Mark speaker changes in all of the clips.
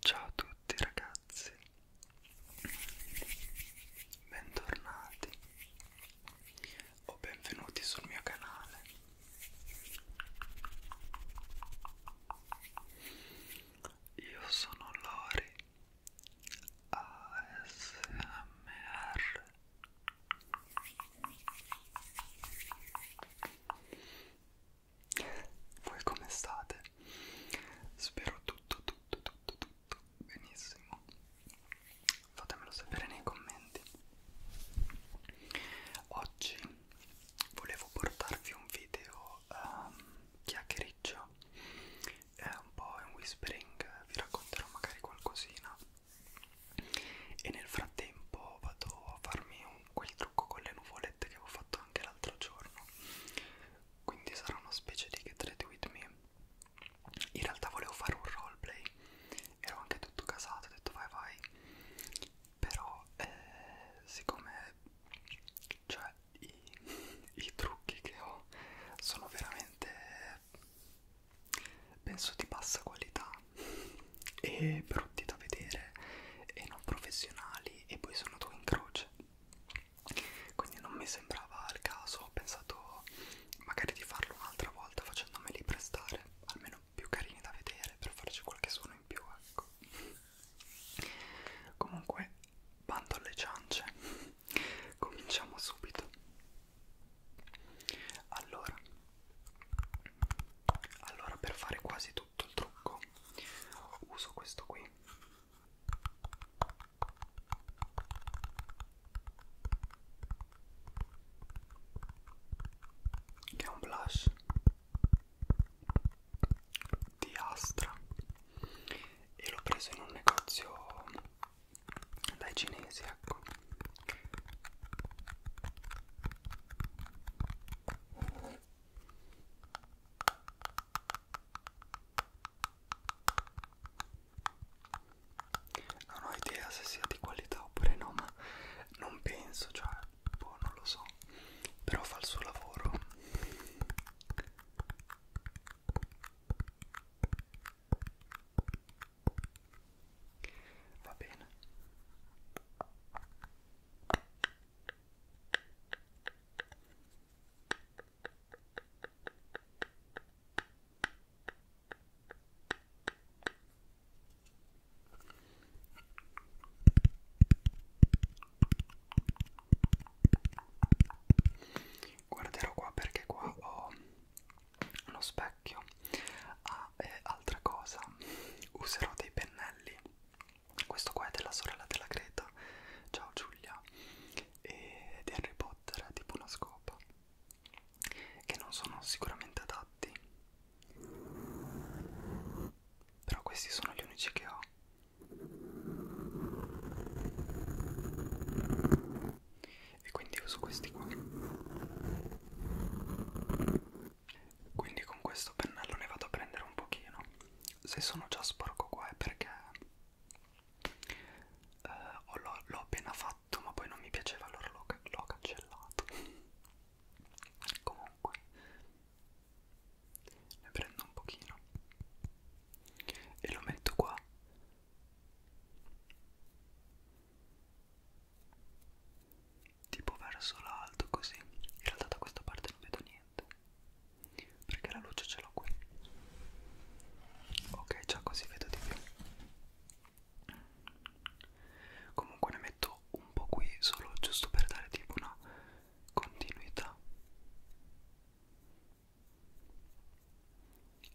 Speaker 1: Ciao a tutti ragazzi, bentornati o benvenuti sul mio canale. Io sono Lori ASMR voi come state? Spero tutto, tutto, tutto, tutto benissimo. Fatemelo sapere nei commenti. Oggi volevo portarvi un video um, chiacchiericcio, è un po' un whispering, vi racconterò magari qualcosina e nel frattempo vado a farmi un, quel trucco con le nuvolette che avevo fatto anche l'altro giorno quindi sarà una specie di get ready with me in realtà volevo fare un roleplay ero anche tutto casato ho detto vai vai però eh, siccome cioè i, i trucchi che ho sono veramente penso di bassa qualità e brutti da vedere e non professionali e poi sono due in croce quindi non mi sembrava il caso ho pensato magari di farlo un'altra volta facendomeli prestare almeno più carini da vedere per farci qualche suono in più ecco comunque bando alle ciance cominciamo subito allora allora per fare quasi tutto il trucco uso questo qui che è un blush di Astra e l'ho preso in un negozio dai cinesi ecco non ho idea se sia di qualità oppure no, ma non penso, cioè, boh, non lo so. Però fa il suo lavoro va bene Guarderò qua perché qua ho uno specchio a ah, eh, altra cosa userò dei pennelli questo qua è della sorella della creta ciao Giulia e di Harry Potter tipo una scopa che non sono sicuramente adatti però questi sono gli unici che ho e quindi uso questi qua quindi con questo pennello ne vado a prendere un pochino se sono già sporco qua è perché eh, l'ho appena fatto ma poi non mi piaceva allora l'ho cancellato comunque ne prendo un pochino e lo metto qua tipo verso l'alto così in realtà da questa parte non vedo niente perché la luce ce l'ho qui ok già così vedo di più comunque ne metto un po' qui solo giusto per dare tipo una continuità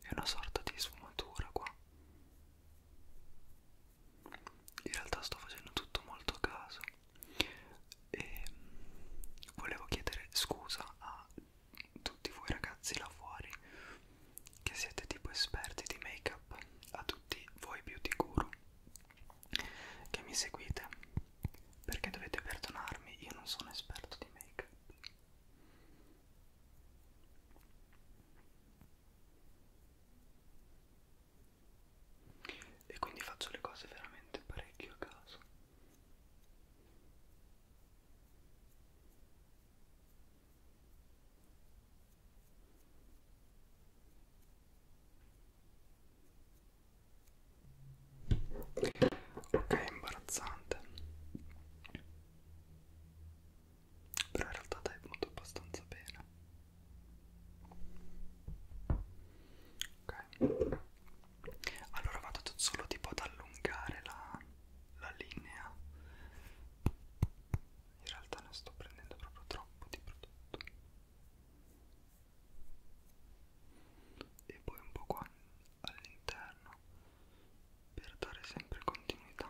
Speaker 1: è una sorta di sfumatura qua in realtà sto facendo tutto molto a caso e mm, volevo chiedere scusa a tutti voi ragazzi là fuori che siete tipo esperti di make up a tutti voi beauty guru che mi seguite perché dovete perdonarmi io non sono esperto di make up e quindi faccio le cose veramente parecchio a caso ok imbarazzante però in realtà dai venuto abbastanza bene ok allora vado solo tipo ad allungare la, la linea in realtà ne sto prendendo proprio troppo di prodotto e poi un po' qua all'interno per dare sempre continuità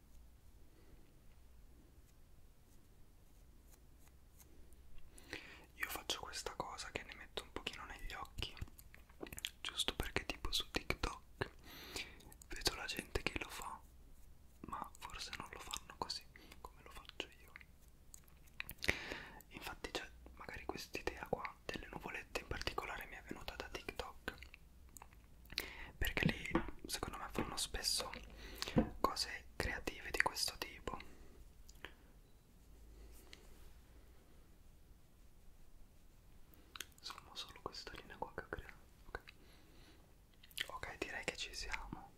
Speaker 1: Io faccio questa cosa che ne metto un pochino negli occhi, giusto perché tipo su TikTok vedo la gente che lo fa, ma forse non lo fanno così come lo faccio io. Infatti c'è magari quest'idea qua delle nuvolette in particolare mi è venuta da TikTok perché lì secondo me fanno spesso cose creative di questo tipo sono solo questa linea qua che ho creato ok, okay direi che ci siamo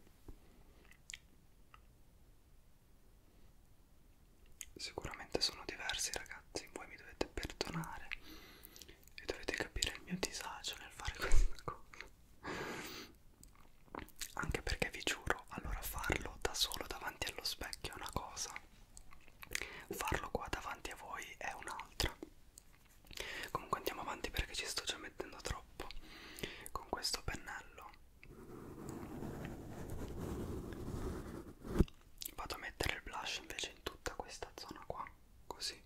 Speaker 1: sicuramente sono diversi ragazzi voi mi dovete perdonare e dovete capire il mio disagio nel fare questa cosa anche perché vi giuro, allora farlo da solo davanti allo specchio è una cosa, farlo qua davanti a voi è un'altra. Comunque andiamo avanti perché ci sto già mettendo troppo con questo pennello. Vado a mettere il blush invece in tutta questa zona qua, così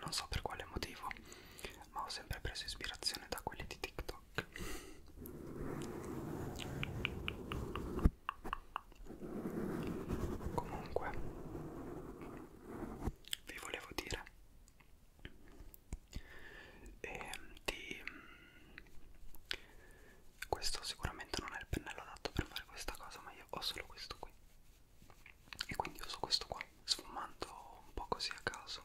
Speaker 1: non so per quale motivo, ma ho sempre preso ispirazione da quelli di TikTok. Comunque, vi volevo dire e ehm, di questo sicuramente non è il pennello adatto per fare questa cosa, ma io ho solo questo qui e quindi uso questo qua sfumando un po' così a caso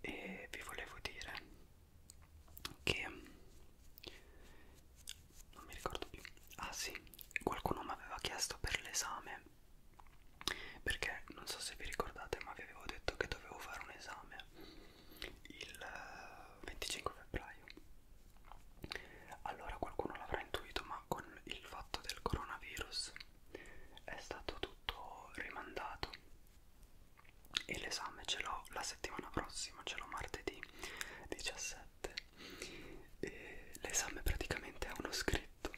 Speaker 1: e vi volevo dire che mm, non mi ricordo più ah sì qualcuno mi aveva chiesto per l'esame perché non so se vi ricordate ma vi avevo detto che dovevo fare un esame il 25 eh, febbraio allora qualcuno l'avrà intuito, ma con il fatto del coronavirus è stato tutto rimandato e l'esame ce l'ho la settimana prossima, ce l'ho martedì 17. L'esame praticamente è uno scritto,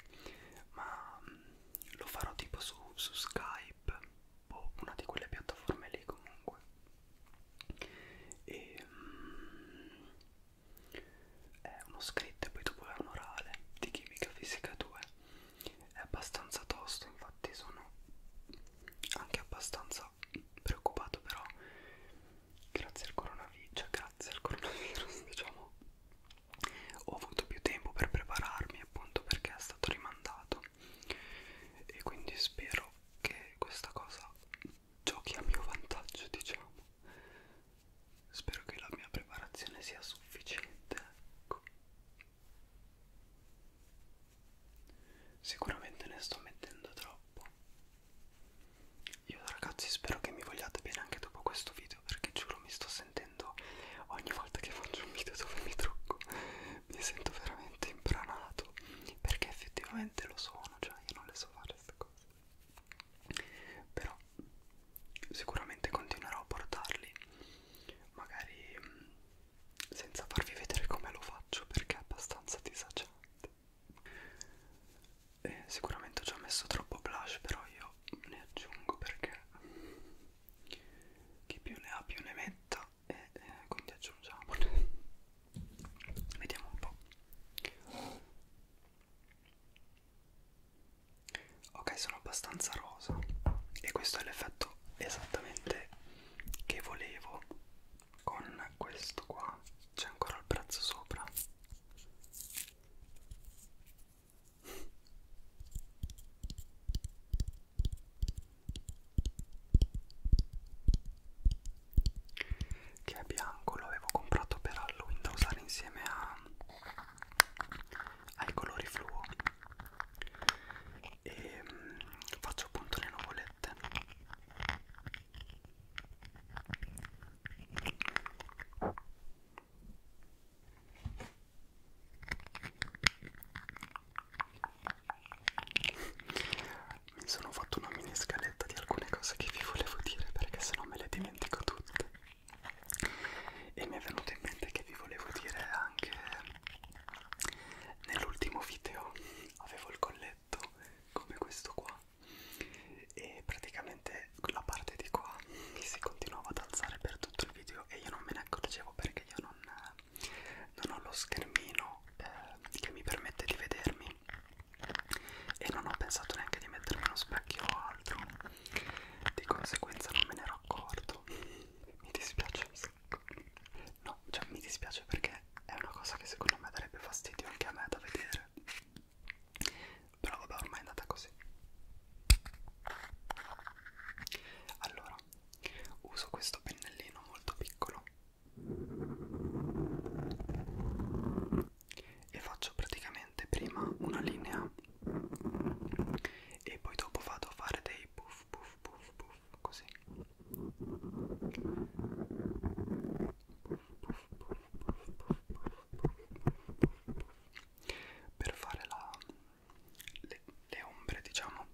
Speaker 1: ma mm, lo farò tipo su, su Skype o boh, una di quelle piattaforme lì comunque. E, mm, è uno scritto e poi dopo è un orale di chimica fisica 2 è abbastanza tosto infatti sono anche abbastanza preoccupato però grazie al coronavirus cioè grazie al coronavirus diciamo ho avuto più tempo per prepararmi appunto perché è stato rimandato e quindi spero che questa cosa giochi a mio vantaggio diciamo spero che la mia preparazione sia sufficiente ecco. sicuramente ne sto mettendo troppo io ragazzi spero che mi vogliate bene anche dopo questo video perché giuro mi sto sentendo ogni volta che faccio un video dove mi trucco mi sento veramente imbranato perché effettivamente lo sono, cioè io non le so fare queste cose però sicuramente continuerò a portarli magari mm, senza farvi vedere come lo faccio perché è abbastanza disagiante e eh, sicuramente ho già messo troppo blush però io ne aggiungo perché chi più ne ha più ne metta e eh, quindi aggiungiamone vediamo un po' ok sono abbastanza rosa e questo è l'effetto esattamente che volevo con questo qua c'è ancora il prezzo sopra che è bianco lo avevo comprato per Halloween da usare insieme a, ai colori fluo e mh, mm, faccio appunto le nuvolette mi sono fatto una mini scaletta di alcune cose che vi volevo dire perché sennò me le dimentico tutte e mi è venuto in mente che vi volevo dire anche nell'ultimo video avevo il colletto come questo qua e praticamente la parte di qua mi si continuava ad alzare per tutto il video e io non me ne accorgevo perché io non, non ho lo schermino eh, che mi permette di vedermi e non ho pensato neanche di mettermi uno specchio o altro di conseguenza non me ne ero accorto mi dispiace un sacco no cioè mi dispiace perché è una cosa che secondo me darebbe fastidio anche a me da vedere però vabbè ormai è andata così allora uso questo pennellino molto piccolo e faccio praticamente prima una linea e poi dopo vado a fare dei puff puff puff puff così per fare la, le, le ombre diciamo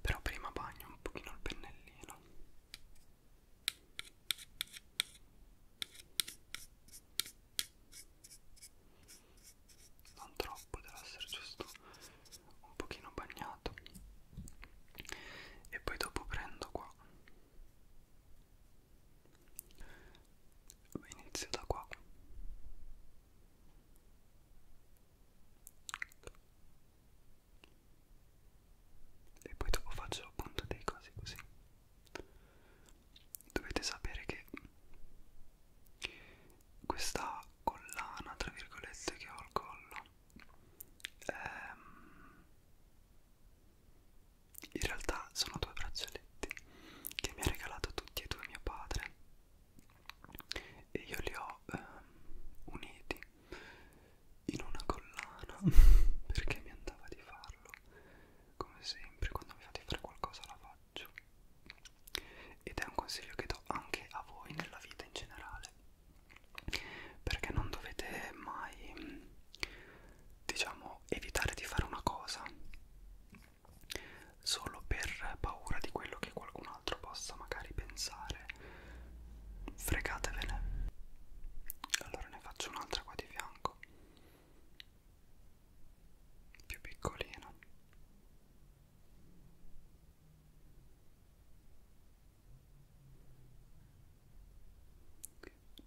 Speaker 1: però prima bagno un pochino il pennellino non troppo deve essere giusto un pochino bagnato e poi dopo prendo qua inizio da qua e poi dopo faccio appunto dei cosi così dovete sapere che questa collana tra virgolette che ho al collo ehm, in realtà sono due braccialetti che mi ha regalato tutti e due mio padre e io li ho ehm, uniti in una collana perché mi andava di farlo come sempre quando mi fate fare qualcosa la faccio ed è un consiglio che do anche a voi nella vita in generale perché non dovete mai diciamo evitare di fare una cosa solo per paura di quello che qualcun altro possa magari pensare fregatevene allora allora ne faccio un'altra qua di fianco più piccolina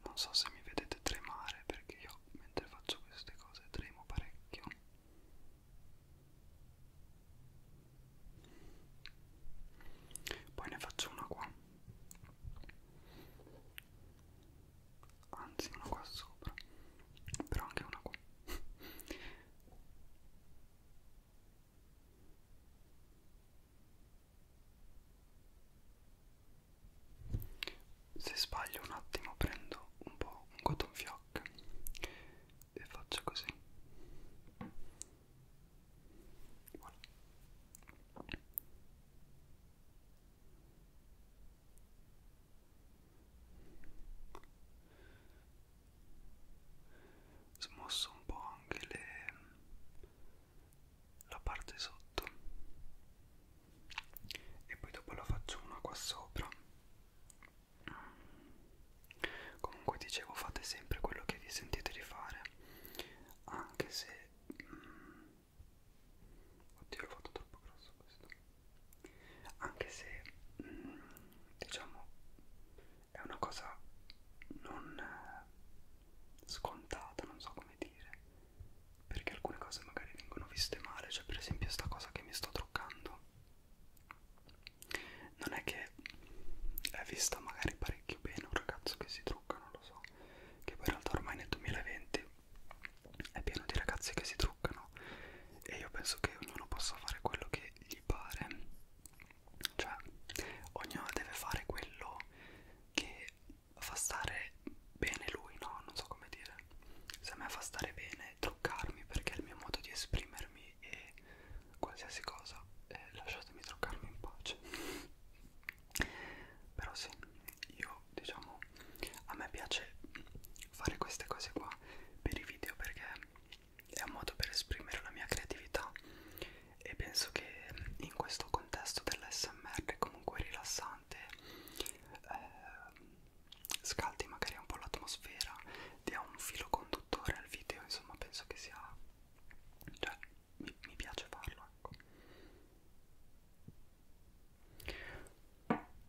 Speaker 1: non so se mi vedete tremare perché io mentre faccio queste cose tremo parecchio poi ne faccio una qua anzi una qua sopra però anche una qua se sbaglio un attimo prendo un po' un cotton fioc e faccio così Voilà. Smosso un po' anche le, la parte sotto e poi dopo la faccio una qua sopra. Comunque dicevo fate sempre quello che vi sentite di fare, anche se Mm. Oddio l'ho fatto troppo grosso questo Anche se mh, mm, diciamo è una cosa non eh, scontata, non so come dire Perché alcune cose magari vengono viste male Cioè per esempio sta cosa che mi sto truccando Non è che è vista magari parecchio bene un ragazzo che si trucca, non lo so che poi in realtà ormai nel 2020 è pieno di ragazzi che si truccano e io penso che ognuno possa fare quello che gli pare cioè ognuno deve fare quello che fa stare bene lui no non so come dire se a me fa stare bene truccarmi perché è il mio modo di esprimermi e qualsiasi cosa eh, lasciatemi truccarmi in pace però sì io diciamo a me piace fare queste cose qua per i video perché è un modo per esprimere la mia creatività e penso che in questo contesto dell'SMR comunque rilassante eh, scaldi magari un po' l'atmosfera dia un filo conduttore al video insomma penso che sia cioè mi, mi piace farlo, ecco.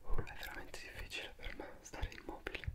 Speaker 1: Oh, è veramente difficile per me stare immobile.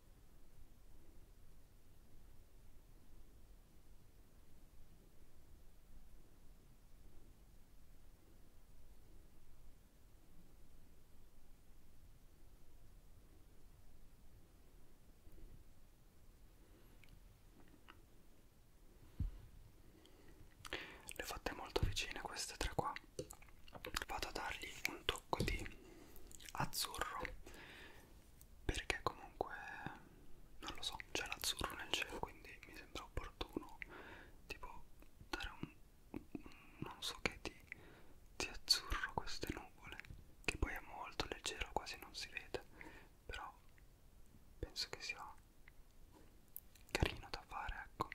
Speaker 1: Le fate molto vicine queste tre qua vado a dargli un tocco di azzurro perché comunque non lo so c'è l'azzurro nel cielo quindi mi sembra opportuno tipo dare un, un non so che di, di azzurro a queste nuvole che poi è molto leggero quasi non si vede però penso che sia carino da fare ecco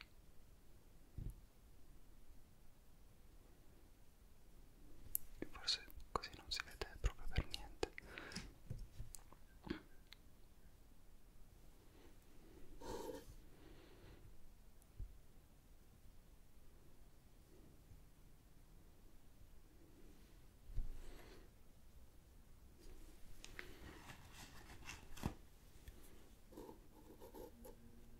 Speaker 1: forse così non si vede proprio per niente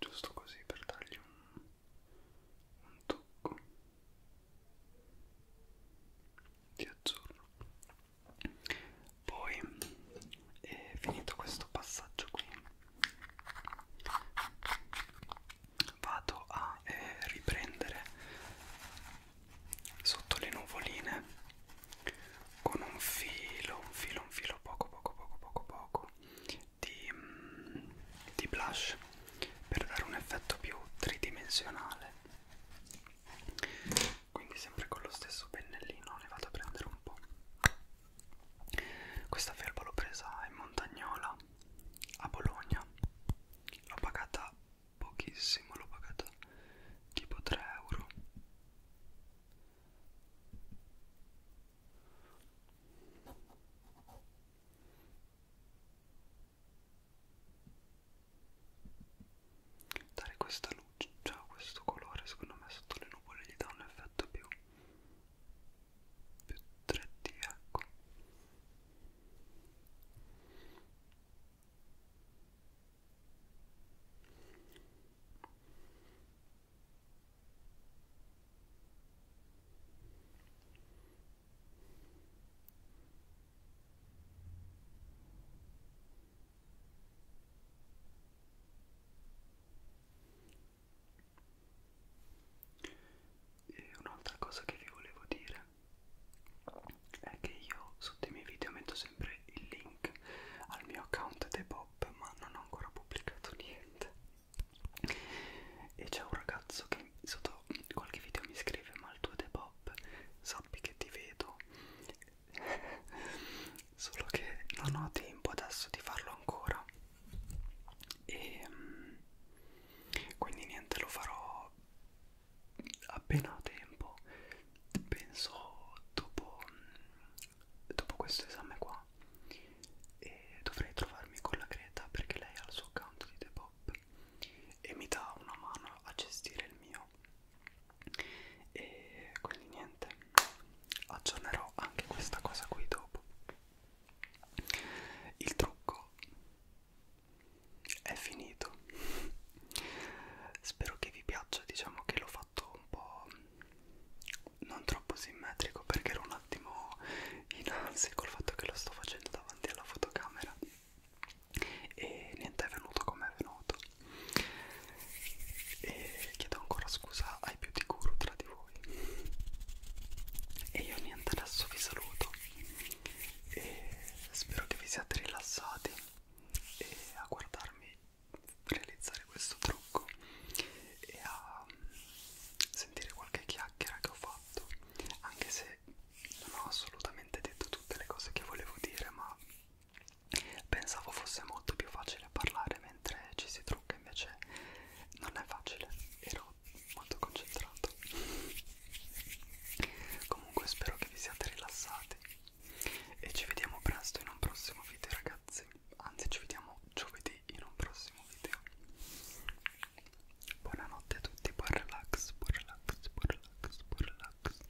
Speaker 1: giusto così per dargli un, un tocco di azzurro poi è finito questo passaggio qui vado a eh, riprendere sotto le nuvoline con un filo un filo un filo poco poco poco poco poco di, mm, di blush per dare un effetto più tridimensionale quindi sempre con lo stesso pennellino ne vado a prendere un po' questa felpa l'ho presa in montagnola a Bologna l'ho pagata pochissimo l'ho pagata tipo 3 euro dare questa luce, cioè questo colore secondo me sotto le nuvole gli dà un effetto più, più 3D ecco e un'altra cosa che vi volevo dire è che io sotto i miei video metto sempre il link al mio account Depop, ma non ho ancora pubblicato niente. E c'è un ragazzo che sotto qualche video mi scrive: Ma il tuo Depop sappi che ti vedo solo che non ho tempo adesso di farlo ancora e mm, quindi niente lo farò appena ho tempo penso dopo mm, dopo questo esame qua e dovrei trovarmi con la Greta perché lei ha il suo account di The Pop e mi dà una mano a gestire il mio e quindi niente aggiornerò anche questa cosa qui dopo il trucco è finito spero che vi piaccia diciamo che l'ho fatto un po' non troppo simmetrico perché ero un attimo in ansia col fatto che lo sto facendo davanti alla fotocamera e niente è venuto come è venuto e chiedo ancora scusa ai beauty guru tra di voi e io niente adesso vi saluto e spero che vi siate rilassati e a guardarmi realizzare questo trucco e a mm, sentire qualche chiacchiera che ho fatto anche se non ho assolutamente detto tutte le cose che volevo dire ma Pensavo fosse molto più facile parlare mentre ci si trucca, invece non è facile, ero molto concentrato. Comunque spero che vi siate rilassati e ci vediamo presto in un prossimo video ragazzi, anzi ci vediamo giovedì in un prossimo video. Buonanotte a tutti, buon relax, buon relax, buon relax, buon relax.